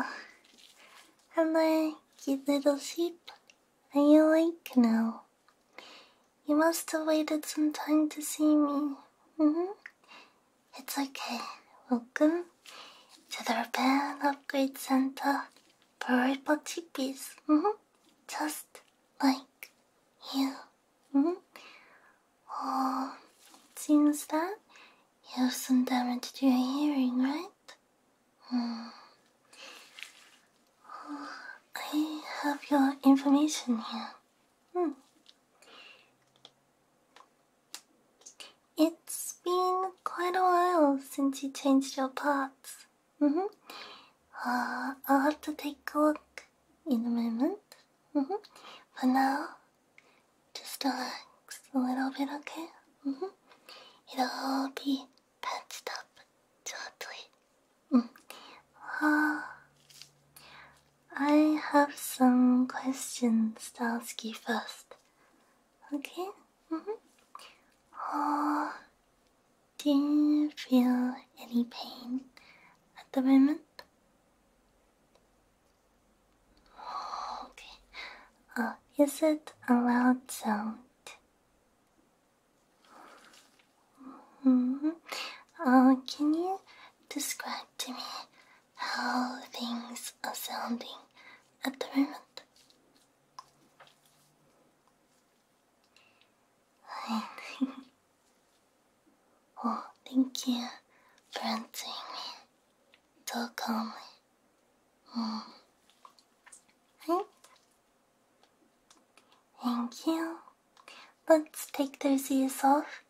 Oh, I'm a cute little sheep, and you awake now. You must have waited some time to see me. Mm-hmm. It's okay. Welcome to the Repair Upgrade Center for Ripple Chippies. Mm-hmm. Just like you. Mm -hmm. Oh, seems that you have some damage to your hearing, right? Mm. Oh, I have your information here. Mm. It's been quite a while since you changed your parts. Mm -hmm. uh, I'll have to take a look in a moment. but mm-hmm. now, just relax a little bit, okay? Mm-hmm. It'll be patched up shortly. Mm. Mm-hmm. Uh, I have some questions to ask you first. Okay? Mm do you feel any pain at the moment? Oh, okay. Uh, is it a loud sound? Mm-hmm. Uh, can you describe to me how things are sounding at the moment? Oh, thank you for answering me so calmly. Mm. Hey. Thank you. Let's take those ears off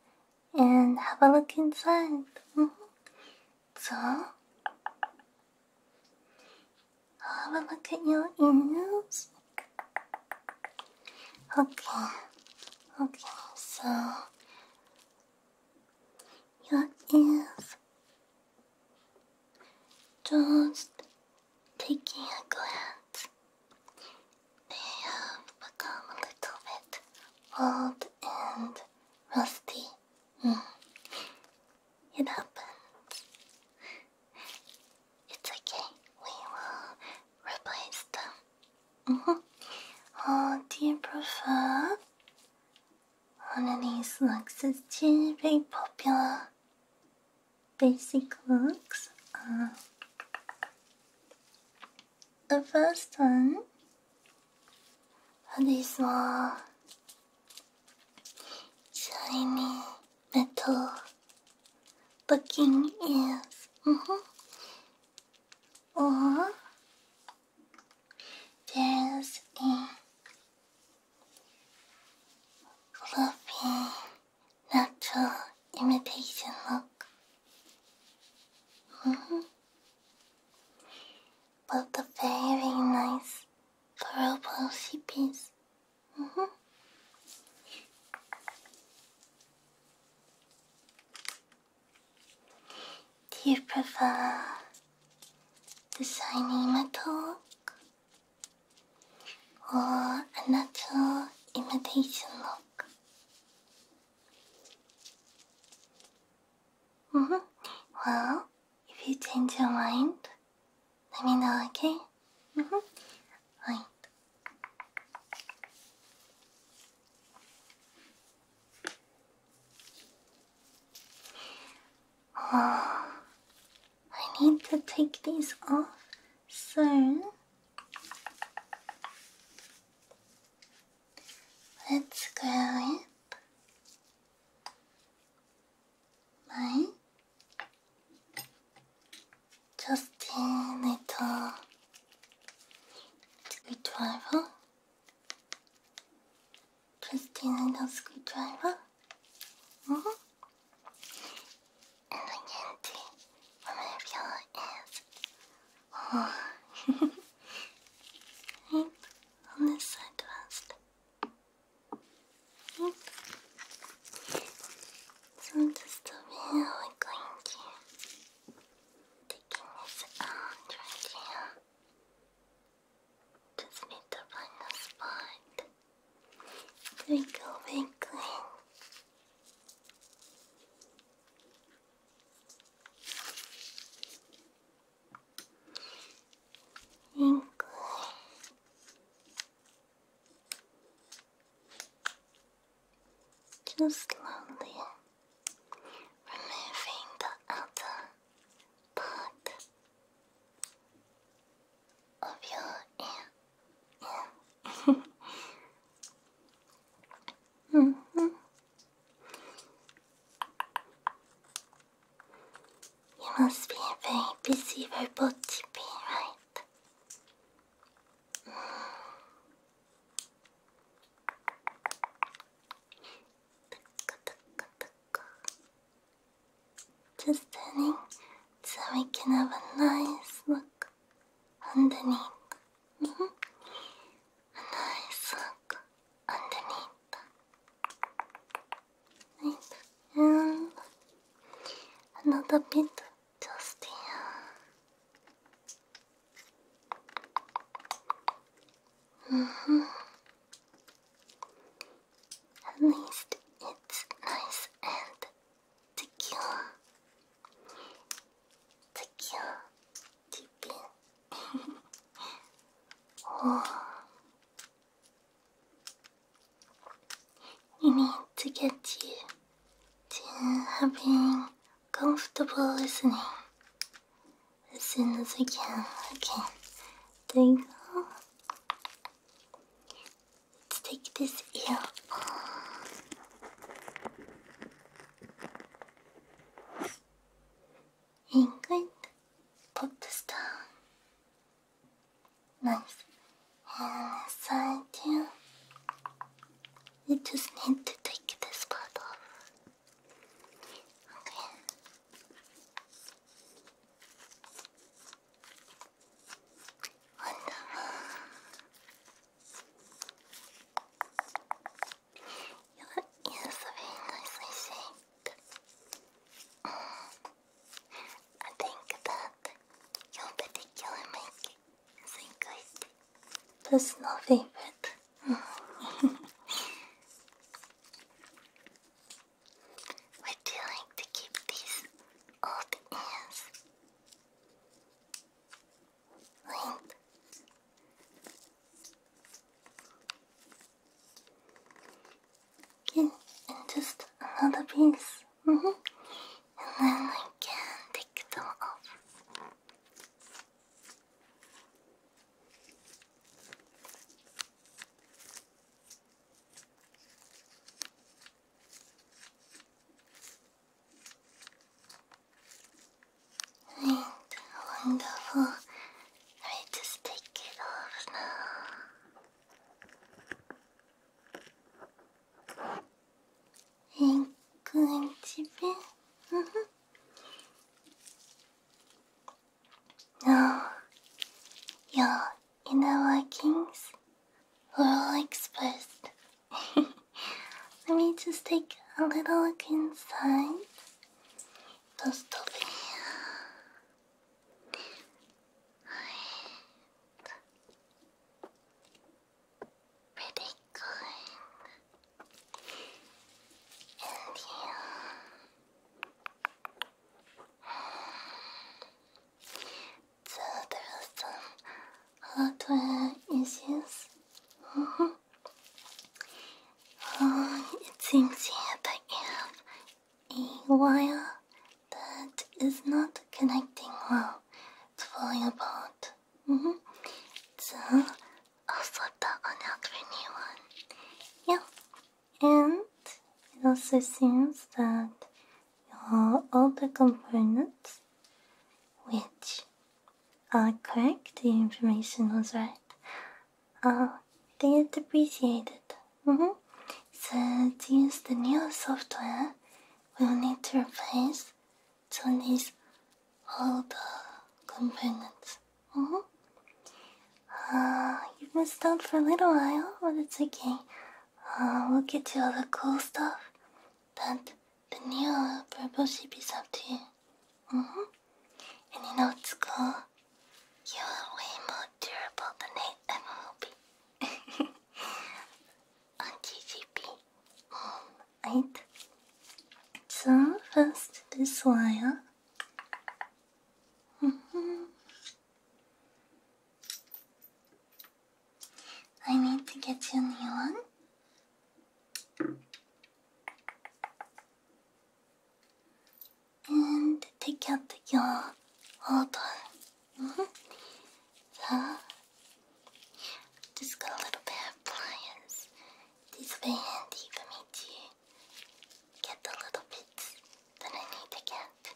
and have a look inside. Mm-hmm. So, have a look at your ears. Okay, okay, so your ears just taking a glance. They have become a little bit old and rusty. Mm. It happens. It's okay. We will replace them oh, do you prefer? One of these looks is very popular. Basic looks are uh, the first one. Uh, this one, shiny metal looking ears. Mm-hmm or there's a fluffy, natural imitation look. Mm -hmm. But the very nice purple sheepies. Mm -hmm. Do you prefer designing a talk or another natural imitation look? Mm -hmm. Well, if you change your mind, let me know, okay? Mm -hmm. Right. Oh, I need to take these off soon. Let's grow it like Justin, later. Screwdriver. Justin, a screwdriver. Mm -hmm. And again, too, one of your ears. Oh. on this side first. So I'm just really going to taking this out right here. Just need to find a spot. There go, very clean. Just slowly removing the outer part of your ear. Yeah. -hmm. You must be a very busy robot, be right? Just turning so we can have a nice look underneath. Mm -hmm. A nice look underneath. Right. And another bit Justin. Mm hmm. At least it's nice and secure. Secure, deep in. oh. We need to get you to having comfortable listening as soon as I can. Okay, there you go. Let's take this ear off. And good. Pop this down. Nice uh, so I do. You just need to take this part off. Okay. Wonderful. Your are very nicely shaped. Mm. I think that your particular makeup Personal favorite. Would you like to keep these old ears? Linked? and just another piece. Mm then I can take them off. And wonderful. Let just take it off now. 인근집에 No, your inner workings are all exposed. Let me just take a little look inside. Don't stop it pretty good. And you so there some hardware issues. Oh, it seems here that you have a wire that is not connecting well. It's falling apart. Mm -hmm. So I'll swap that one out new one. Yeah. And it also seems that your older components, which are correct, the information was right, uh, they depreciated. Mm-hmm. So to use the new software, we'll need to replace Tony's all the components. Mm mm-hmm. uh, you've missed out for a little while, but it's okay. Uh, we'll get you all the cool stuff that the new purple should be up to you. Mm mm-hmm. And you know what's cool? You are way more durable than I ever will on TGP um, right? So first this wire. Mm-hmm. I need to get you a new one. And take out your old one so, just got a little pair of pliers. These will be handy for me to get the little bits that I need to get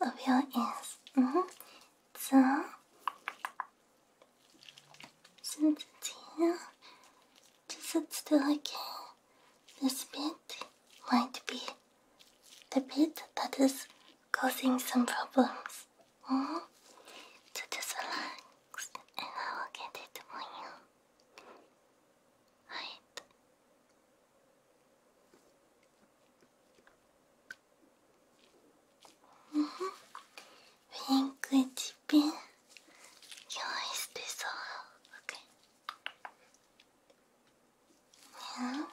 inside of your ears. Mm-hmm. So, since it's to sit still again. This bit might be the bit that is causing some problems. Mm -hmm. just relax and I will get it for you. Right. -hmm. Wrinkly chipping. Your eyes do okay? Now,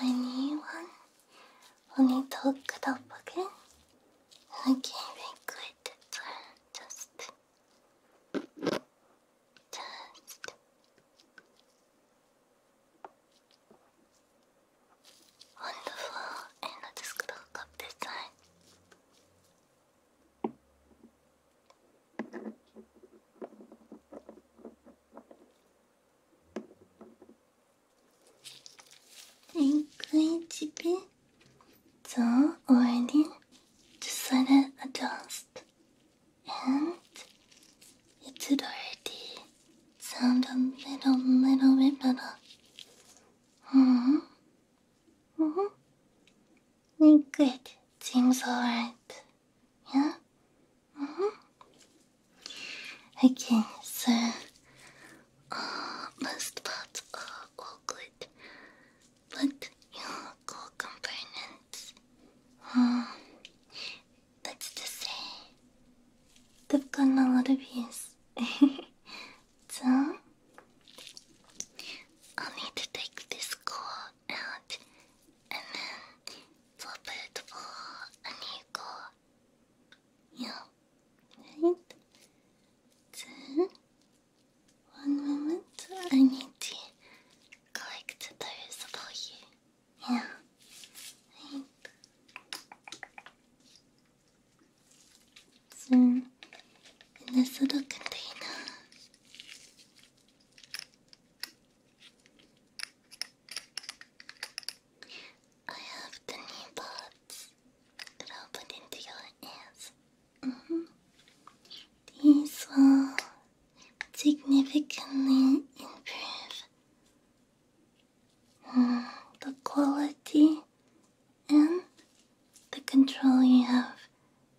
my new one will need to hook it up again. I can't even quit it, just, just. Wonderful, and just going up this 你可以这边走，or I need to slightly adjust, and it already sound a little, little bit better. hmm. Mm Good. Seems alright. Yeah? Mm hmm. Okay, so most uh, parts uh, are all good, but your core components, um, uh, let's just say, they've gotten a lot of So, i need to take this core out and then swap it for a new core. Yeah, right? So, one moment, I need to collect those for you. Yeah, right soon in this little container. I have the knee that I'll put into your ears. Mm-hmm. These will significantly improve mm, the quality and the control you have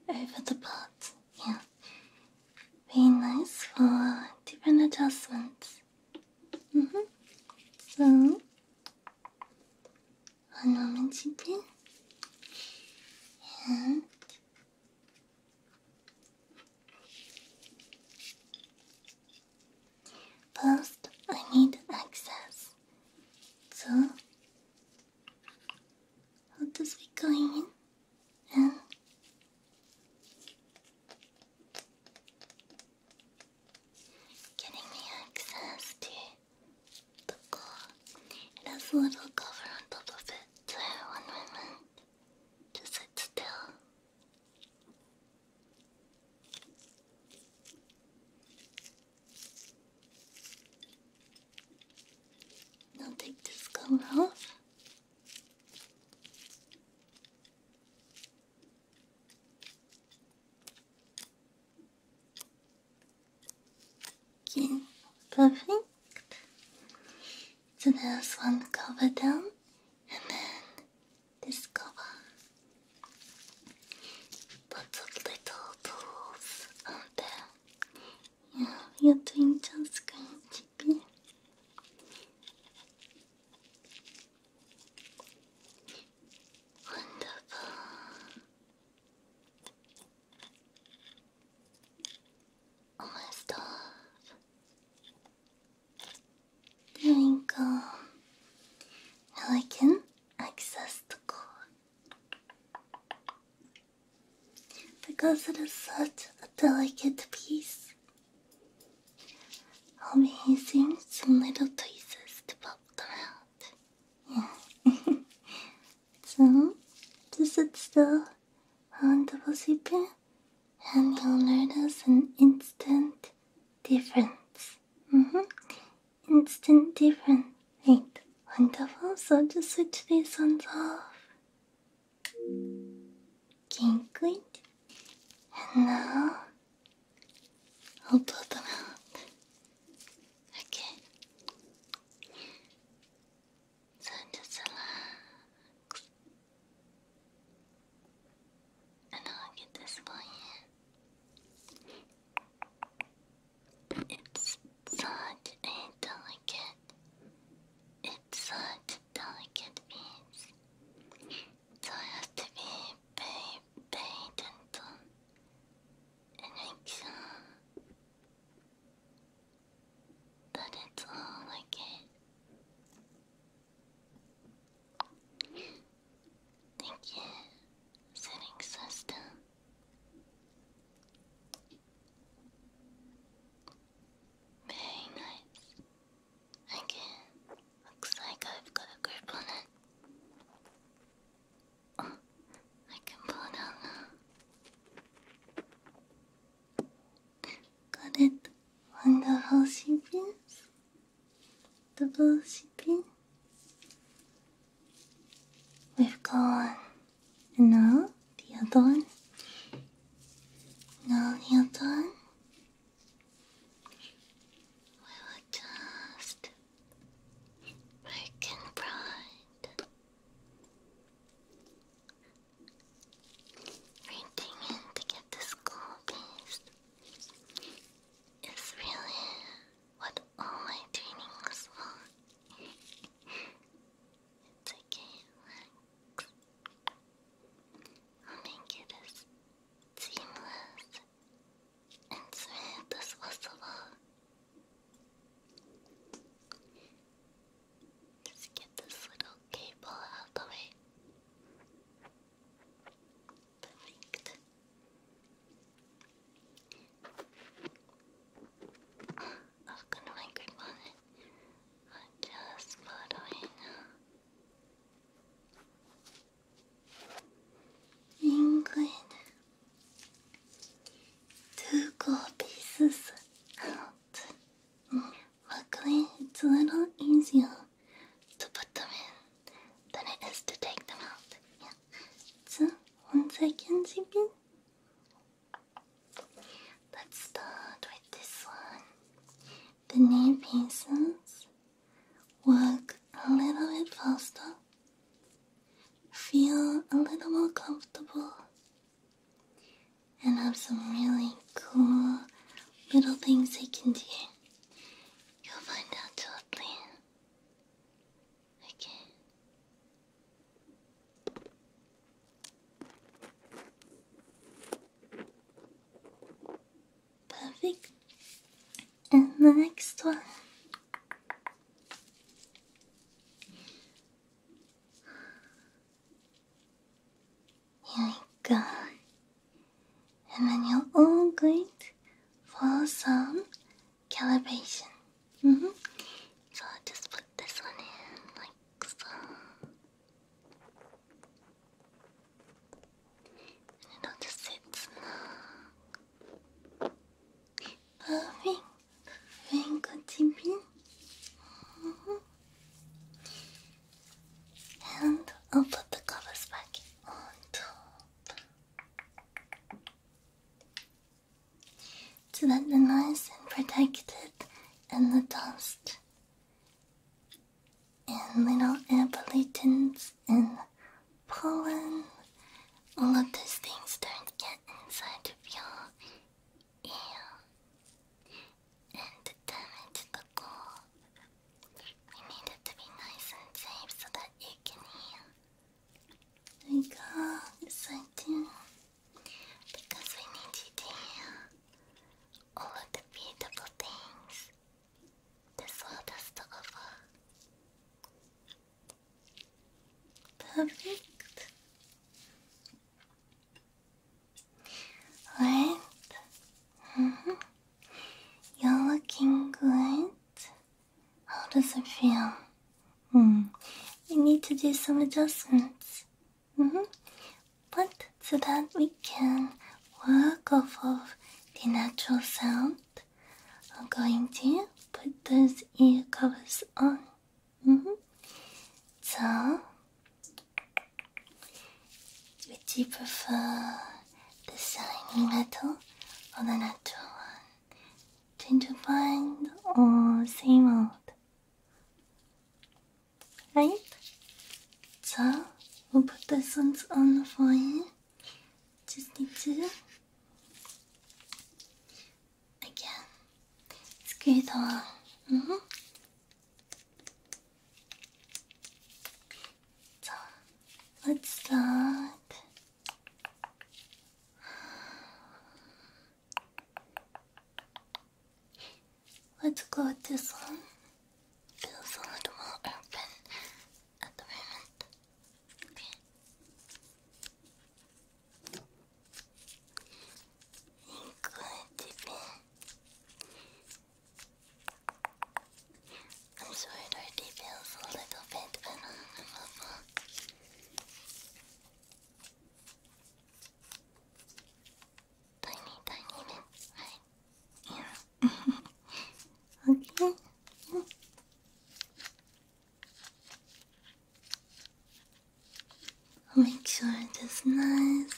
over the pot. Yeah. be nice for different adjustments. Mm -hmm. So, one moment, Chippy. And First, I need access to what does it be in um, getting me access to the claw. It has a little cover on top of it, so one moment, just sit still. Now take this coat off. perfect. So there's one covered down, and then this cover put little tools on you're doing just good. Wonderful. Almost There we go. Now I can access the code. Because it is such a delicate piece. I'll be Amazing some little tweezers to pop them out. Yeah. so, this is still on the position and you'll notice an instant difference. Mm -hmm instant different. Ain't wonderful? So just switch these ones off. Kinkled. And now I'll blow them out. Okay. So just relax. And i get this for you. It's such a delicate, it's such delicate piece. So I have to be paid, very gentle and make it's all okay. Thank you, sitting sister. Very nice. Again, looks like I've got a grip on it. Oh, I can pull it out now. got it. Wonder how she feels comfortable sleeping? We've gone. And now the other one. Now the other one. We were just breaking pride. Renting in to get the school piece is really what all my training was for. it's okay, relax. I'll make it seamless and smooth as possible. Just get this little cable out of the way i am just photoing England. Two gold pieces out. Luckily, it's a little easier to put them in than it is to take them out. So once again, Jibin. Let's start with this one. The nail pieces work a little bit faster. Feel a little more comfortable and have some really cool little things you can do. You'll find out shortly again. Perfect. And the next one. Here we go. And then you're all going for some calibration. Mm-hmm. So i just put this one in like so. And it'll just sit snug. Perfect. Mm-hmm. And I'll put the covers back on so that they're nice and protected and the dust and little air pollutants and pollen all of those things don't get inside of your ear and damage the core. We need it to be nice and safe so that you can hear we got side two because we need to hear all the beautiful things this world has to Perfect. Right. You're looking good. How does it feel? Hmm. We need to do some adjustments. Mm -hmm. But so that we can work off of the natural sound, I'm going to put those ear covers on. Mm -hmm. So, would you prefer the shiny metal or the natural one? Change your mind or same old? Right? So, we'll put this one on the fire. Just need to again screw it mm-hmm. So, let's start Let's go with this one. Feels a little more open at the moment. Okay. Including I'm sorry, it already feels a little bit uncomfortable. Tiny, tiny bit, right? Yeah. okay. make sure it is nice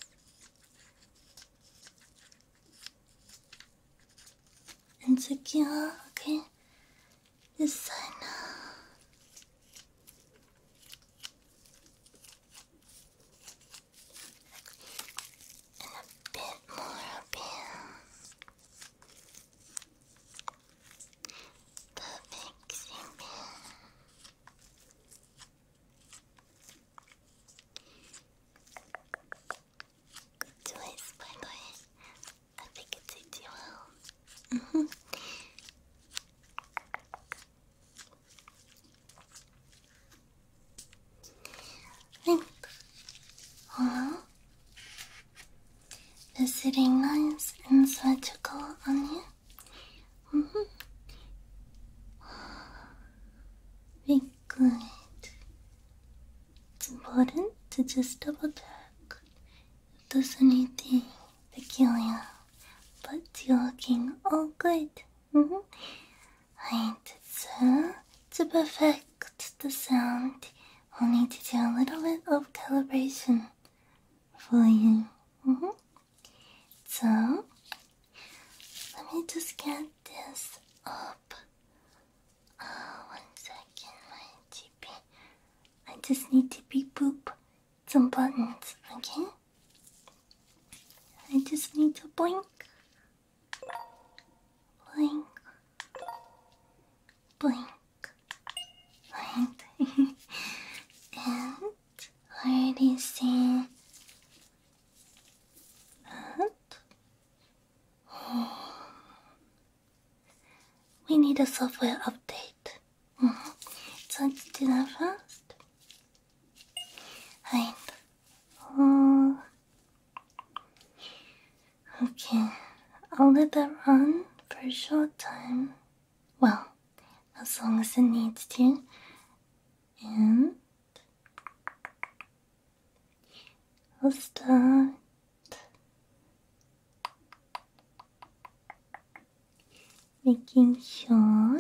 안줄게요 됐어요. And a bit more pins. Perfect simple good choice, by the way. I think it did you well. -hmm. Hello? Is sitting nice and surgical on you? Mm -hmm. Good. It's important to just double check if there's anything peculiar, but you're looking all good. Mm -hmm. Right, to perfect the sound, we will need to do a little bit of calibration for you. Mm-hmm. So, let me just get this up uh, one second, I just need to be poop some buttons, okay? I just need to blink, blink, blink, right? and I already see that. We need a software update. Mm -hmm. Sounds dinner first. Right. Okay, I'll let that run for a short time. Well, as long as it needs to. And I'll start making sure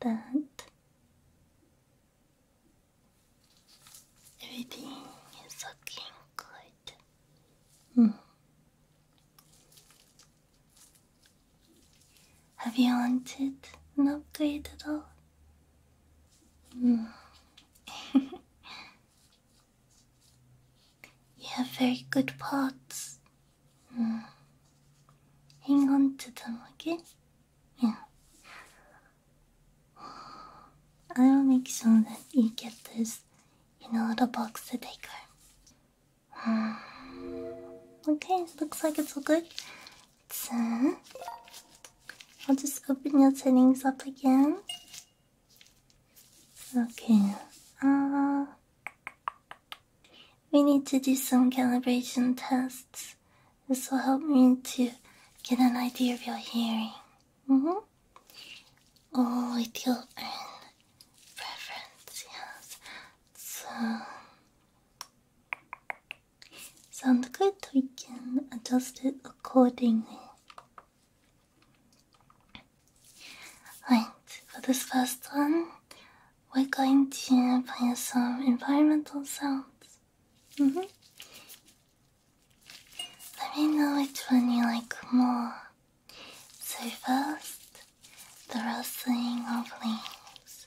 that everything is looking good. Hmm. Have you wanted an upgrade at all? you have very good parts. Mm. Hang on to them, okay? Yeah. I'll make sure that you get this in a little box to take home. Mm. Okay, looks like it's all good. 10. I'll just open your settings up again. Okay. Uh, we need to do some calibration tests. This will help me to get an idea of your hearing. Mm -hmm. Oh, with your own preference, yes. So, Sound good? We can adjust it accordingly. Right, for this first one, we're going to play some environmental sounds. Mm-hmm. Let me know which one you like more. So, first, the rustling of leaves.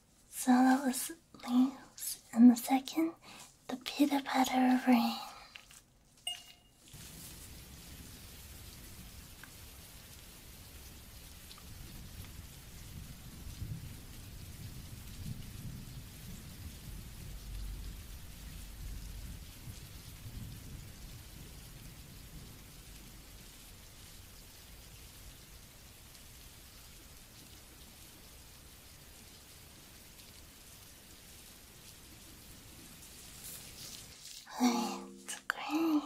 So Solo leaves, and the second, the pitter patter of rain. It's great.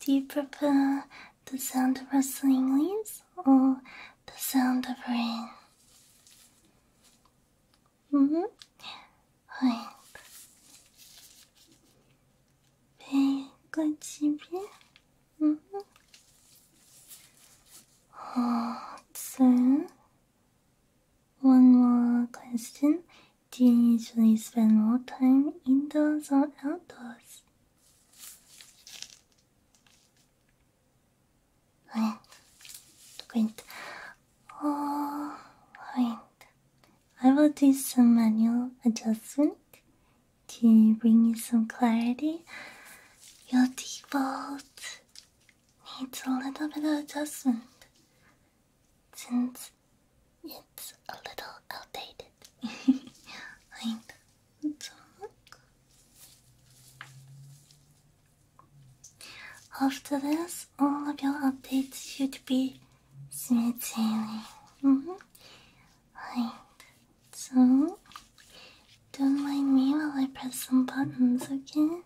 Do you prefer the sound of rustling leaves or the sound of rain? Mm hmm. Right. べこちび 음. so, one more question. Do you usually spend more time indoors or outdoors? Oh, I will do some manual adjustment to bring you some clarity, your default needs a little bit of adjustment since it's a little outdated. After this, all of your updates should be smooth sailing. Mm-hmm. Like so. Don't mind me while I press some buttons, okay?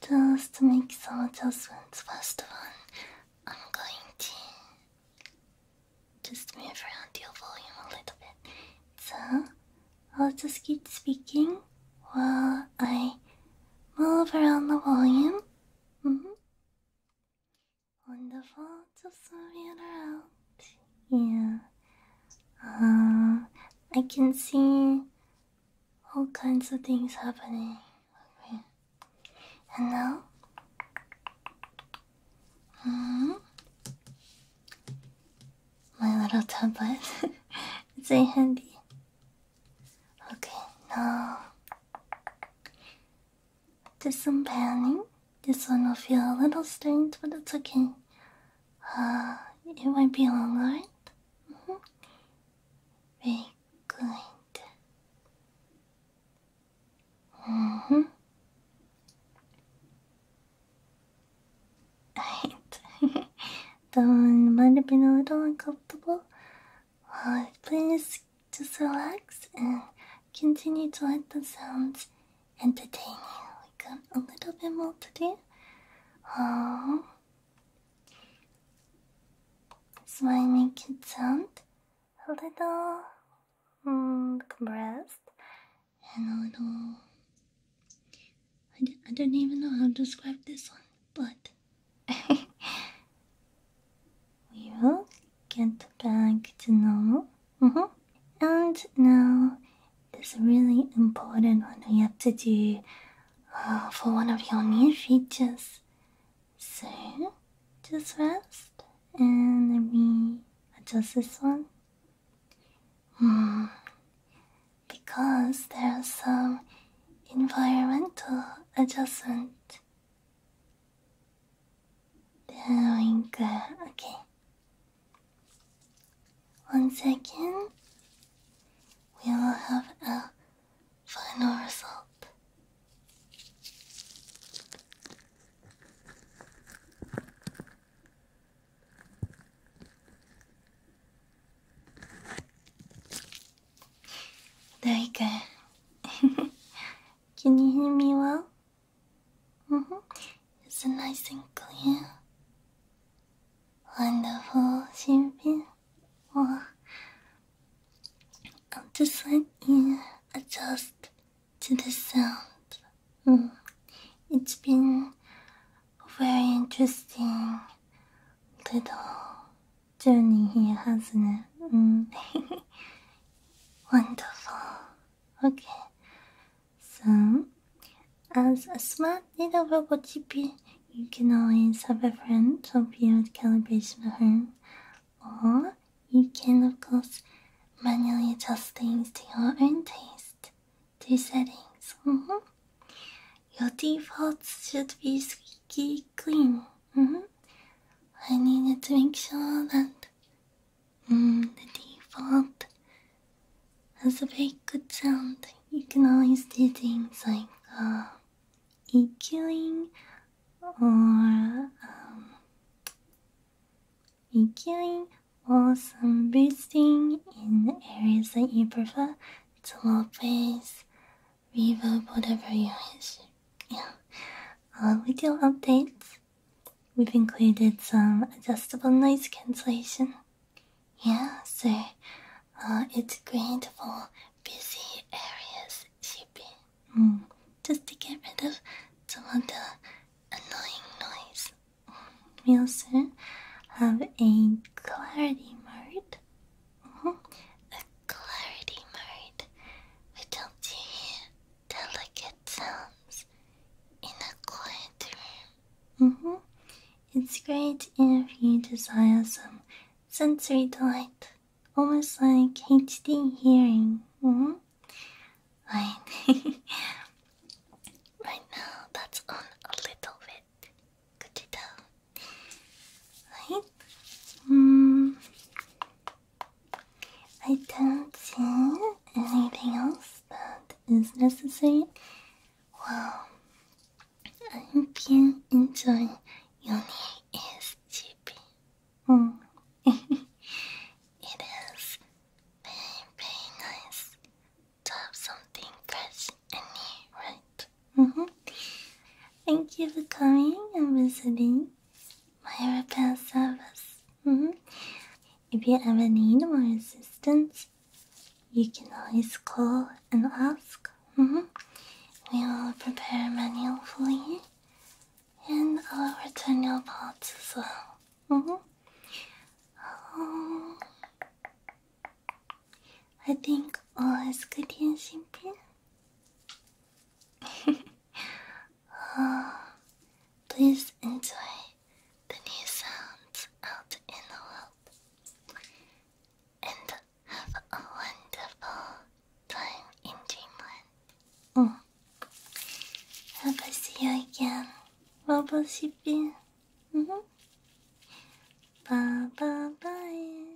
Just to make some adjustments. First one, I'm going to just move around your volume a little bit. So I'll just keep speaking while I move around the volume. -hmm. Wonderful to serve you around. Yeah. Uh, I can see all kinds of things happening. Okay. And now? -hmm. My little tablet. it's in handy. Okay, now do some panning. This one will feel a little strange, but it's okay. Uh, it might be alright. Mm mm-hmm. good. hmm. Right. that one might have been a little uncomfortable. Uh, please just relax and continue to let the sounds entertain you. We got um, a little bit more to do. Oh. So I make it sound a little mm, compressed and a little. I, d I don't even know how to describe this one, but we will get back to normal. Mm -hmm. And now, this really important one we have to do uh, for one of your new features. So, just rest and let me adjust this one. Hmm. Because there are some environmental adjustment. There go. okay. One second, we will have a final result. There you go. Can you hear me well? Mm hmm. Is nice and clear? Wonderful, Shinpin. Well, I'll just let you adjust to the sound. Mm. It's been a very interesting little ジョニー here has it. Wonderful. Okay. So, as a smart little robot you can always have a friend help you with calibration at home, or you can, of course, manually adjust things to your own taste, to settings. Mm-hmm. Your defaults should be squeaky clean. Mm-hmm. I needed to make sure that mm, the default has a very good sound. You can always do things like uh, EQing or um, EQing or some boosting in areas that you prefer. It's a low bass, reverb, whatever you wish. Yeah. Uh, video updates. We've included some adjustable noise cancellation. Yeah, sir. uh, it's great for busy areas, shipping. Mm. Just to get rid of some of the annoying noise. Mm, we also have a clarity mode, mm-hmm clarity mode, which helps you hear delicate sounds in a quiet room. -hmm. It's great if you desire some sensory delight, almost like HD hearing. -hmm. Right. right now, that's on a little bit. Could you tell? Right. Mm. I don't see anything else that is necessary. Well, I hope you enjoy your new SGP. Hmm. it is very, nice to have something fresh and new, right? Mm -hmm. Thank you for coming and visiting my repair service. Mm-hmm. If you ever need more assistance, you can always call and ask. Mm-hmm. We'll prepare a manual for you and I'll return your parts as well. Mm-hmm. Um, I think all is good here, Shinpin. please enjoy the new sounds out in the world and have a wonderful time in dreamland. Mm. Hope I see you again, Robo Shippy. Mm -hmm. Bye bye bye.